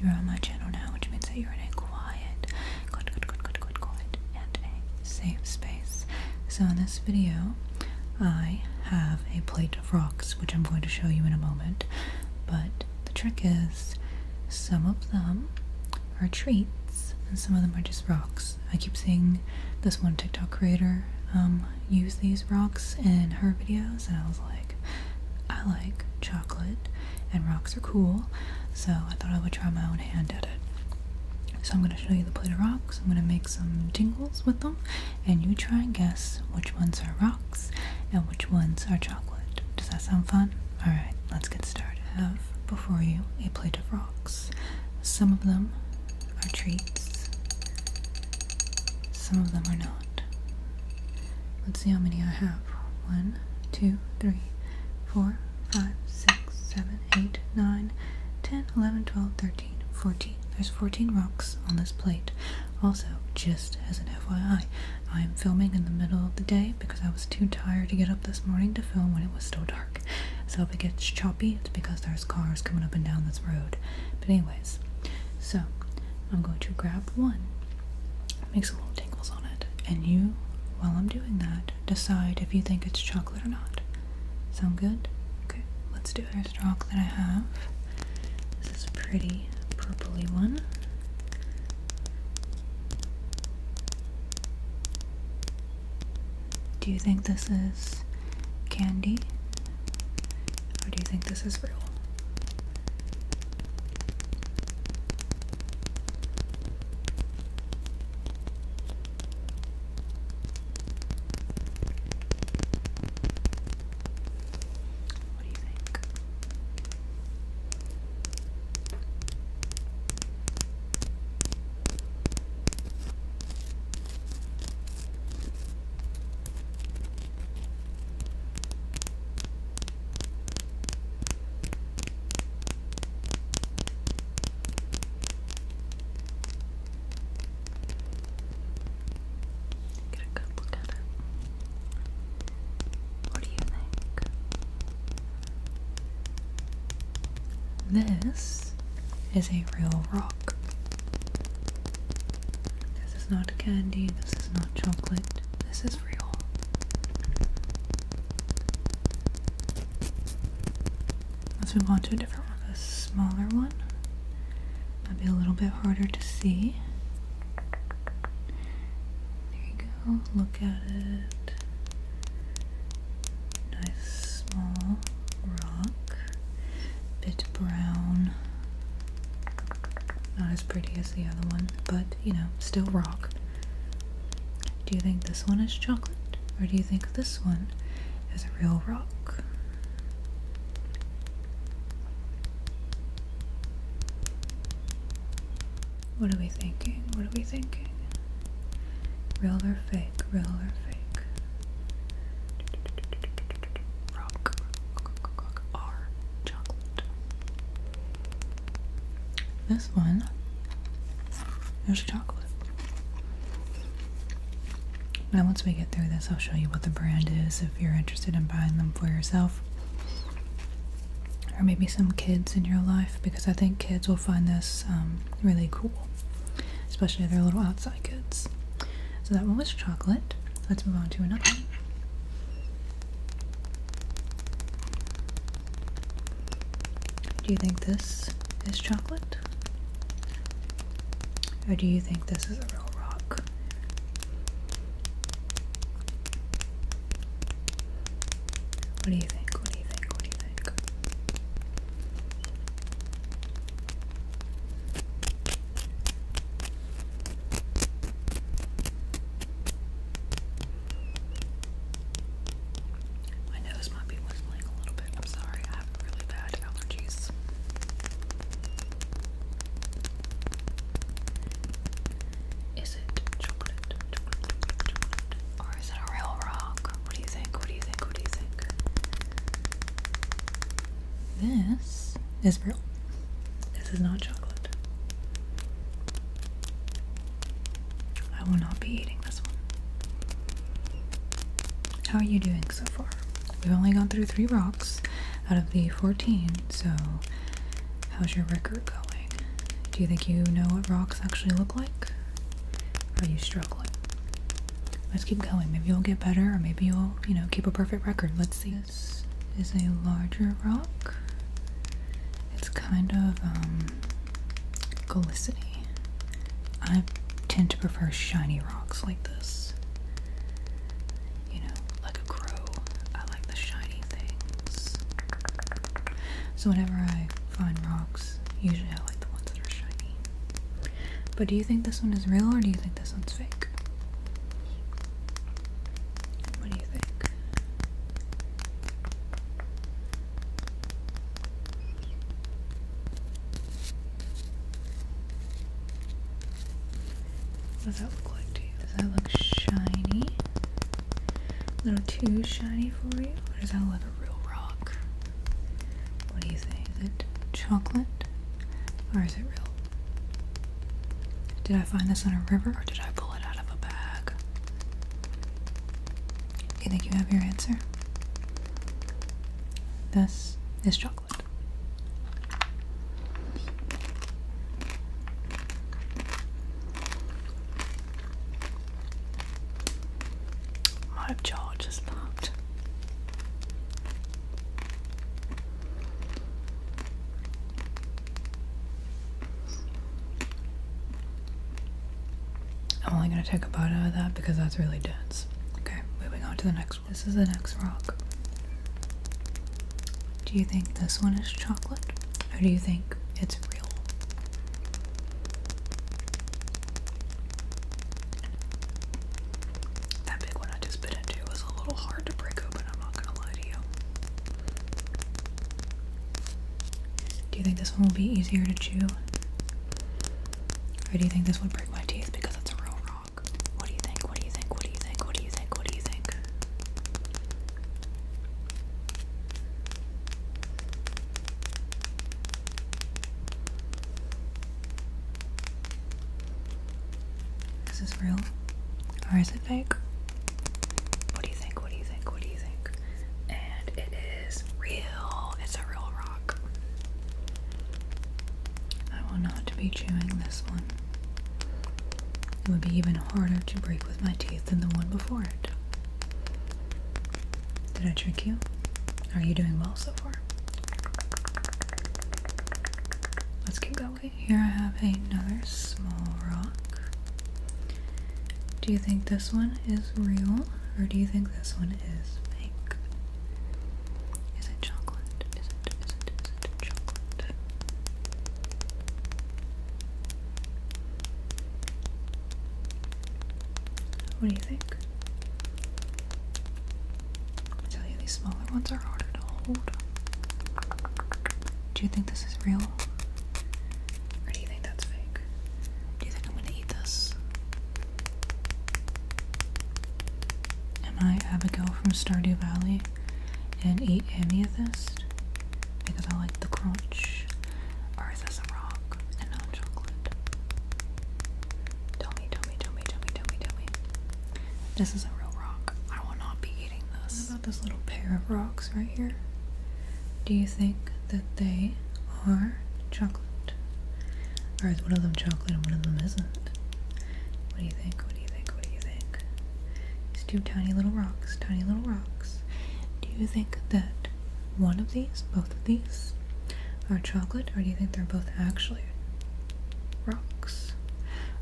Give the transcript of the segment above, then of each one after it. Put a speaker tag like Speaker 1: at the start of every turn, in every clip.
Speaker 1: you're on my channel now, which means that you're in a quiet, quiet, quiet, quiet, quiet, quiet, and a safe space. So in this video, I have a plate of rocks, which I'm going to show you in a moment. But the trick is, some of them are treats, and some of them are just rocks. I keep seeing this one TikTok creator um, use these rocks in her videos, and I was like, I like chocolate, and rocks are cool, so I thought I would try my own hand at it. So I'm going to show you the plate of rocks, I'm going to make some jingles with them, and you try and guess which ones are rocks and which ones are chocolate. Does that sound fun? Alright, let's get started. I have before you a plate of rocks. Some of them are treats, some of them are not. Let's see how many I have. One, two, three, four, five, six, seven, eight, nine, ten, eleven, twelve, thirteen, fourteen. There's 14 rocks on this plate. Also, just as an FYI, I am filming in the middle of the day because I was too tired to get up this morning to film when it was still dark. So if it gets choppy, it's because there's cars coming up and down this road. But anyways, so I'm going to grab one, make some little tangles on it, and you, while I'm doing that, decide if you think it's chocolate or not. Sound good? Okay, let's do our Here's that I have. This is a pretty purpley one. Do you think this is candy? How do you think this is real? What do you think? Get a good look at it. What do you think? This is a real rock. This is not candy, this is not chocolate, this is real. Let's move on to a different one, a smaller one. Might be a little bit harder to see. There you go, look at it. Nice, small rock. Bit brown. Not as pretty as the other one, but you know, still rock. Do you think this one is chocolate? Or do you think this one is a real rock? What are we thinking? What are we thinking? Real or fake? Real or fake? Rock, R chocolate. This one is chocolate. Now, once we get through this, I'll show you what the brand is if you're interested in buying them for yourself. Or maybe some kids in your life, because I think kids will find this um, really cool especially their little outside goods. So that one was chocolate. Let's move on to another one. Do you think this is chocolate? Or do you think this is a real rock? What do you think? What do you think? What do you think? My nose might be whistling a little bit. I'm sorry, I have really bad allergies. Is it chocolate, Or is it a real rock? What do you think? What do you think? What do you think? This is real. This is not chocolate. I will not be eating this one. How are you doing so far? We've only gone through three rocks out of the 14, so how's your record going? Do you think you know what rocks actually look like? Are you struggling? Let's keep going. Maybe you'll get better, or maybe you'll, you know, keep a perfect record. Let's see. This is a larger rock. It's kind of um, glistening. I tend to prefer shiny rocks like this. You know, like a crow. I like the shiny things. So whenever I find rocks, usually I like the ones that are shiny. But do you think this one is real or do you think this one's fake? What do you think? does that look like to you? Does that look shiny? A little too shiny for you? does that look a real rock? What do you think? Is it chocolate or is it real? Did I find this on a river or did I pull it out of a bag? You think you have your answer? This is chocolate. My jaw just popped. I'm only gonna take a bite of that because that's really dense. Okay, moving on to the next one. This is the next rock. Do you think this one is chocolate? Or do you think it's that big one I just bit into was a little hard to break open, I'm not gonna lie to you. Do you think this one will be easier to chew? Or do you think this would break my teeth because it's a real rock? What do you think? What do you think? What do you think? What do you think? What do you think? Is real? Or is it fake? What do you think? What do you think? What do you think? And it is real. It's a real rock. I will not be chewing this one. It would be even harder to break with my teeth than the one before it. Did I trick you? Are you doing well so far? Let's keep going. Here I have another small rock. Do you think this one is real or do you think this one is fake? Is it chocolate? Is it, is it, is it chocolate? What do you think? I tell you, these smaller ones are harder to hold. Do you think this is real? Or do you think that's fake? Do you think I'm gonna eat this? Am I Abigail from Stardew Valley and eat amethyst? Because I like the crunch or this a rock and not chocolate? Tell me, tell me, tell me, This is a real rock. I will not be eating this. What about this little pair of rocks right here? Do you think that they are chocolate? Or is one of them chocolate and one of them isn't? What do you think? What do you think? What do you think? These two tiny little rocks, tiny little rocks. Do you think that one of these, both of these, are chocolate, or do you think they're both actually rocks?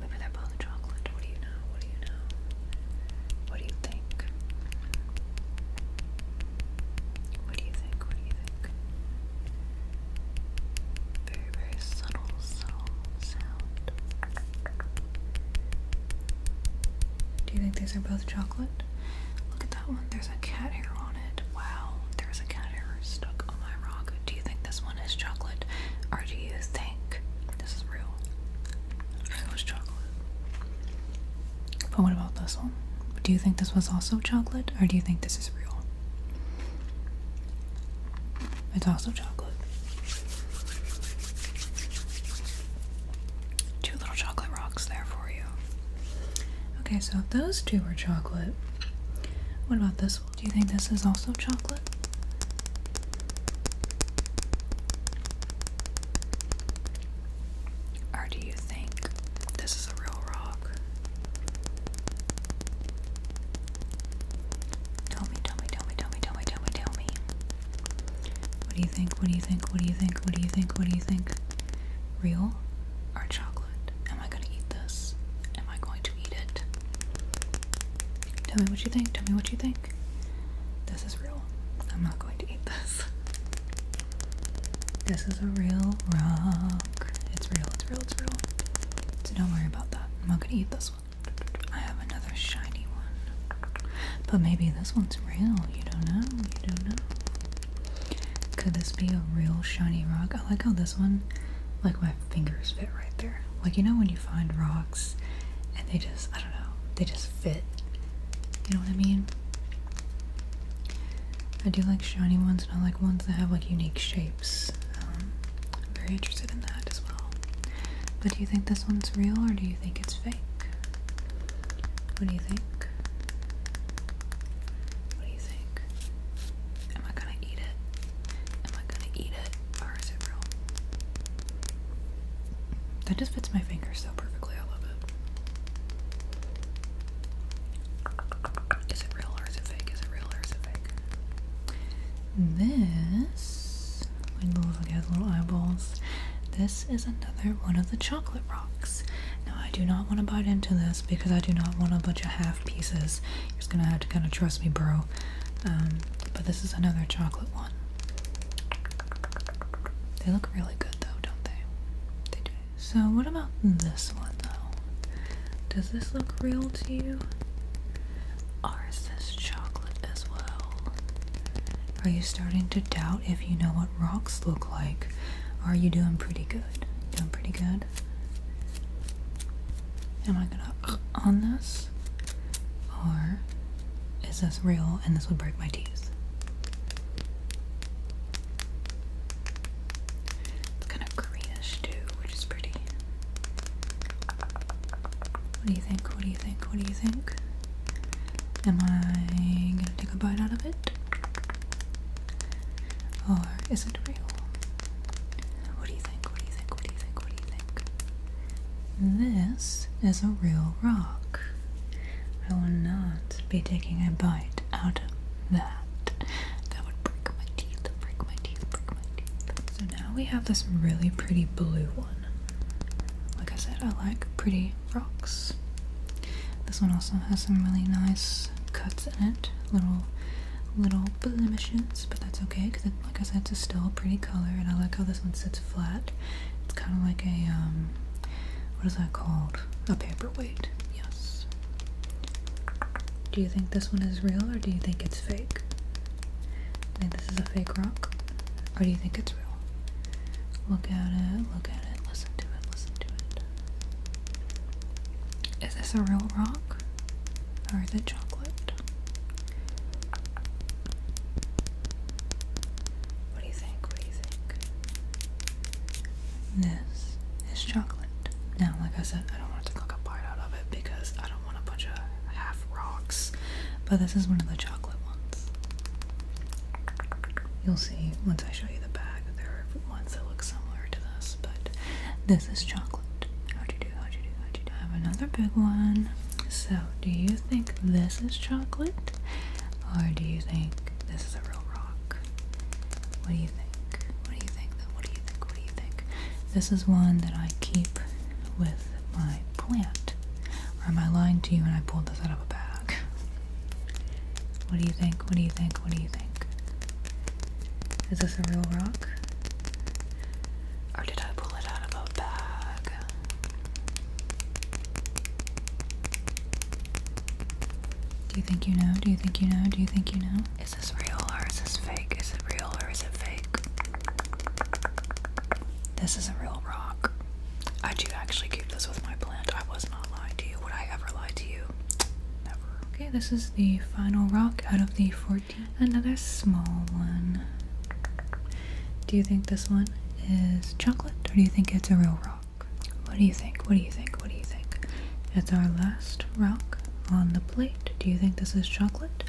Speaker 1: Maybe they're both chocolate. What do you know? What do you know? What do you think? What do you think? What do you think? Very, very subtle, subtle sound. Do you think these are both chocolate? Look at that one. There's a cat hair on it. Wow, there's a cat hair stuck on my rock. Do you think this one is chocolate? Or do you think this is real? It was chocolate. But what about this one? Do you think this was also chocolate? Or do you think this is real? It's also chocolate. Two little chocolate rocks there for you. Okay, so if those two are chocolate, what about this one? Do you think this is also chocolate? Or do you think this is a real rock? Tell me, tell me, tell me, tell me, tell me, tell me, tell me. What do you think? What do you think? What do you think? What do you think? What do you think? Real or chocolate? Am I gonna eat this? Am I going to eat it? Tell me what you think. Tell me what you think. This is real. I'm not going to eat this. This is a real rock. It's real, it's real, it's real. So don't worry about that. I'm not gonna eat this one. I have another shiny one. But maybe this one's real. You don't know. You don't know. Could this be a real shiny rock? I like how this one, like my fingers fit right there. Like, you know, when you find rocks and they just, I don't know, they just fit. You know what I mean? I do like shiny ones and I like ones that have like unique shapes. Um, I'm very interested in that as well. But do you think this one's real or do you think it's fake? What do you think? What do you think? Am I gonna eat it? Am I gonna eat it? Or is it real? That just fits my finger so perfectly. I love it. Is it real or is it fake? Is it real or is it fake? This, like those little eyeballs. This is another one of the chocolate rocks. Now I do not want to bite into this because I do not want a bunch of half pieces. You're just gonna have to kind of trust me, bro. Um, but this is another chocolate one. They look really good though, don't they? They do. So what about this one though? Does this look real to you? Ours says chocolate as well. Are you starting to doubt if you know what rocks look like? Are you doing pretty good? Doing pretty good? Am I gonna uh, on this? Or is this real and this would break my teeth? It's kind of greenish too, which is pretty. What do you think? What do you think? What do you think? Am I gonna take a bite out of it? Or is it real? What do you think? What do you think? What do you think? What do you think? This is a real rock. I will not be taking a bite out of that. That would break my teeth, break my teeth, break my teeth. So now we have this really pretty blue one. Like I said, I like pretty rocks. This one also has some really nice cuts in it, little little blemishes, but that's okay because, like I said, it's still a pretty color. And I like how this one sits flat. It's kind of like a um, what is that called? A paperweight. Yes. Do you think this one is real or do you think it's fake? I think this is a fake rock. Or do you think it's real? Look at it, look at it, listen to it, listen to it. Is this a real rock? Or is it chocolate? What do you think? What do you think? This is chocolate. Now, like I said, I don't want to cook a bite out of it because I don't do a bunch of half rocks. But this is one of the chocolate ones. You'll see once I show you the bag. There are ones that look similar to this, but this is chocolate. How'd you do? How'd you do? How'd you do? I have another big one. So, do you think this is chocolate? Or do you think this is a real rock? What do you think? What do you think? What do you think? really thick. This is one that I keep with my plant. Or am I lying to you and I pulled this out of a bag? What do you think? What do you think? What do you think? Is this a real rock? Or did I pull it out of a bag? Do you think you know? Do you think you know? Do you think you know? Is this real or is this fake? Is it real or is it fake? This is a real rock. I do actually keep this with my plant. I was not lying to you. Would I ever lie to you? Never. Okay, this is the final rock out of the 14. Another small one. Do you think this one is chocolate or do you think it's a real rock? What do you think? What do you think? What do you think? It's our last rock on the plate. Do you think this is chocolate?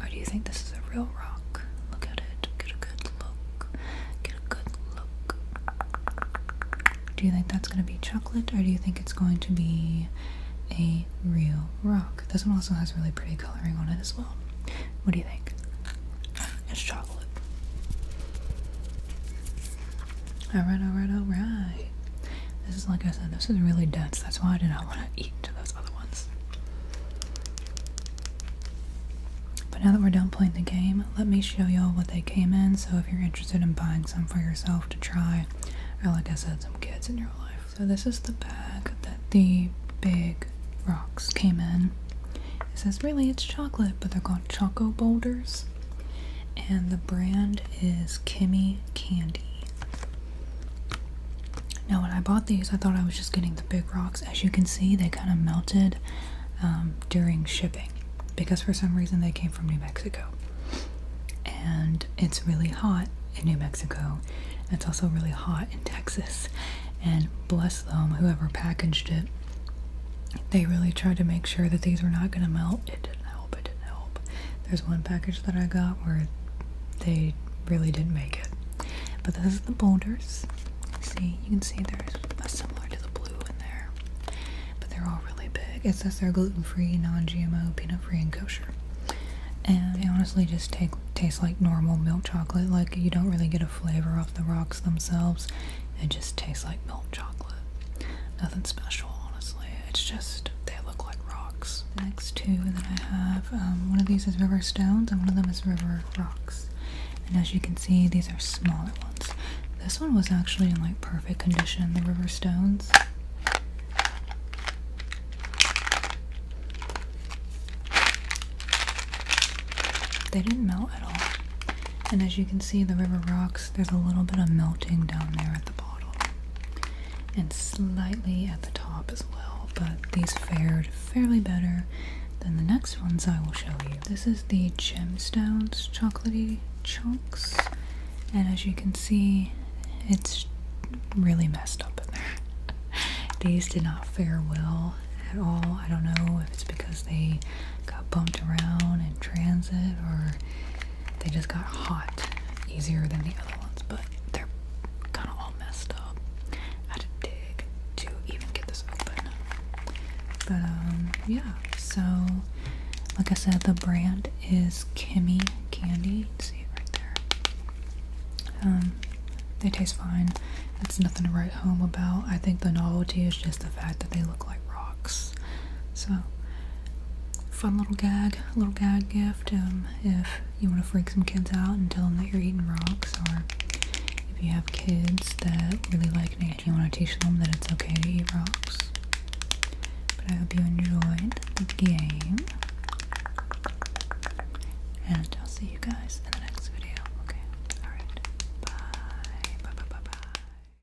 Speaker 1: Or do you think this is a real rock? Look at it. Get a good look. Get a good look. Do you think that's going to be chocolate or do you think it's going to be a real rock? This one also has really pretty coloring on it as well. What do you think? It's chocolate. Alright, alright, alright. This is, like I said, this is really dense. That's why I did not want to eat into those other ones. But now that we're done playing the game, let me show y'all what they came in. So if you're interested in buying some for yourself to try, or like I said, some kids in your life. So this is the bag that the big rocks came in. It says really it's chocolate, but they're called Choco Boulders. And the brand is Kimmy Candy. Now when I bought these, I thought I was just getting the big rocks. As you can see, they kind of melted um, during shipping because for some reason they came from New Mexico. And it's really hot in New Mexico. It's also really hot in Texas. And bless them, whoever packaged it, they really tried to make sure that these were not going to melt it didn't help. There's one package that I got where they really didn't make it. But this is the boulders. See, you can see there's a similar to the blue in there. But they're all really big. It says they're gluten-free, non-GMO, peanut-free, and kosher. And they honestly just taste like normal milk chocolate. Like, you don't really get a flavor off the rocks themselves. It just tastes like milk chocolate nothing special, honestly. It's just they look like rocks. next two that I have, um, one of these is river stones and one of them is river rocks. And as you can see, these are smaller ones. This one was actually in like perfect condition, the river stones. They didn't melt at all. And as you can see, the river rocks, there's a little bit of melting down there at the bottom and slightly at the top as well, but these fared fairly better than the next ones I will show you. This is the Gemstones Chocolatey Chunks, and as you can see, it's really messed up in there. These did not fare well at all. I don't know if it's because they got bumped around in transit or they just got hot easier than the other ones, but they're kind of all messed up. had to dig to even get this open. But, um, yeah. So, like I said, the brand is Kimmy Candy. see it right there. Um, they taste fine. It's nothing to write home about. I think the novelty is just the fact that they look like rocks. So, fun little gag, little gag gift. Um, if you want to freak some kids out and tell them that you're eating rocks, or if you have kids that really like it, you want to teach them that it's okay to eat rocks. But I hope you enjoyed the game. And I'll see you guys in the next video. Okay. Alright. Bye bye bye bye.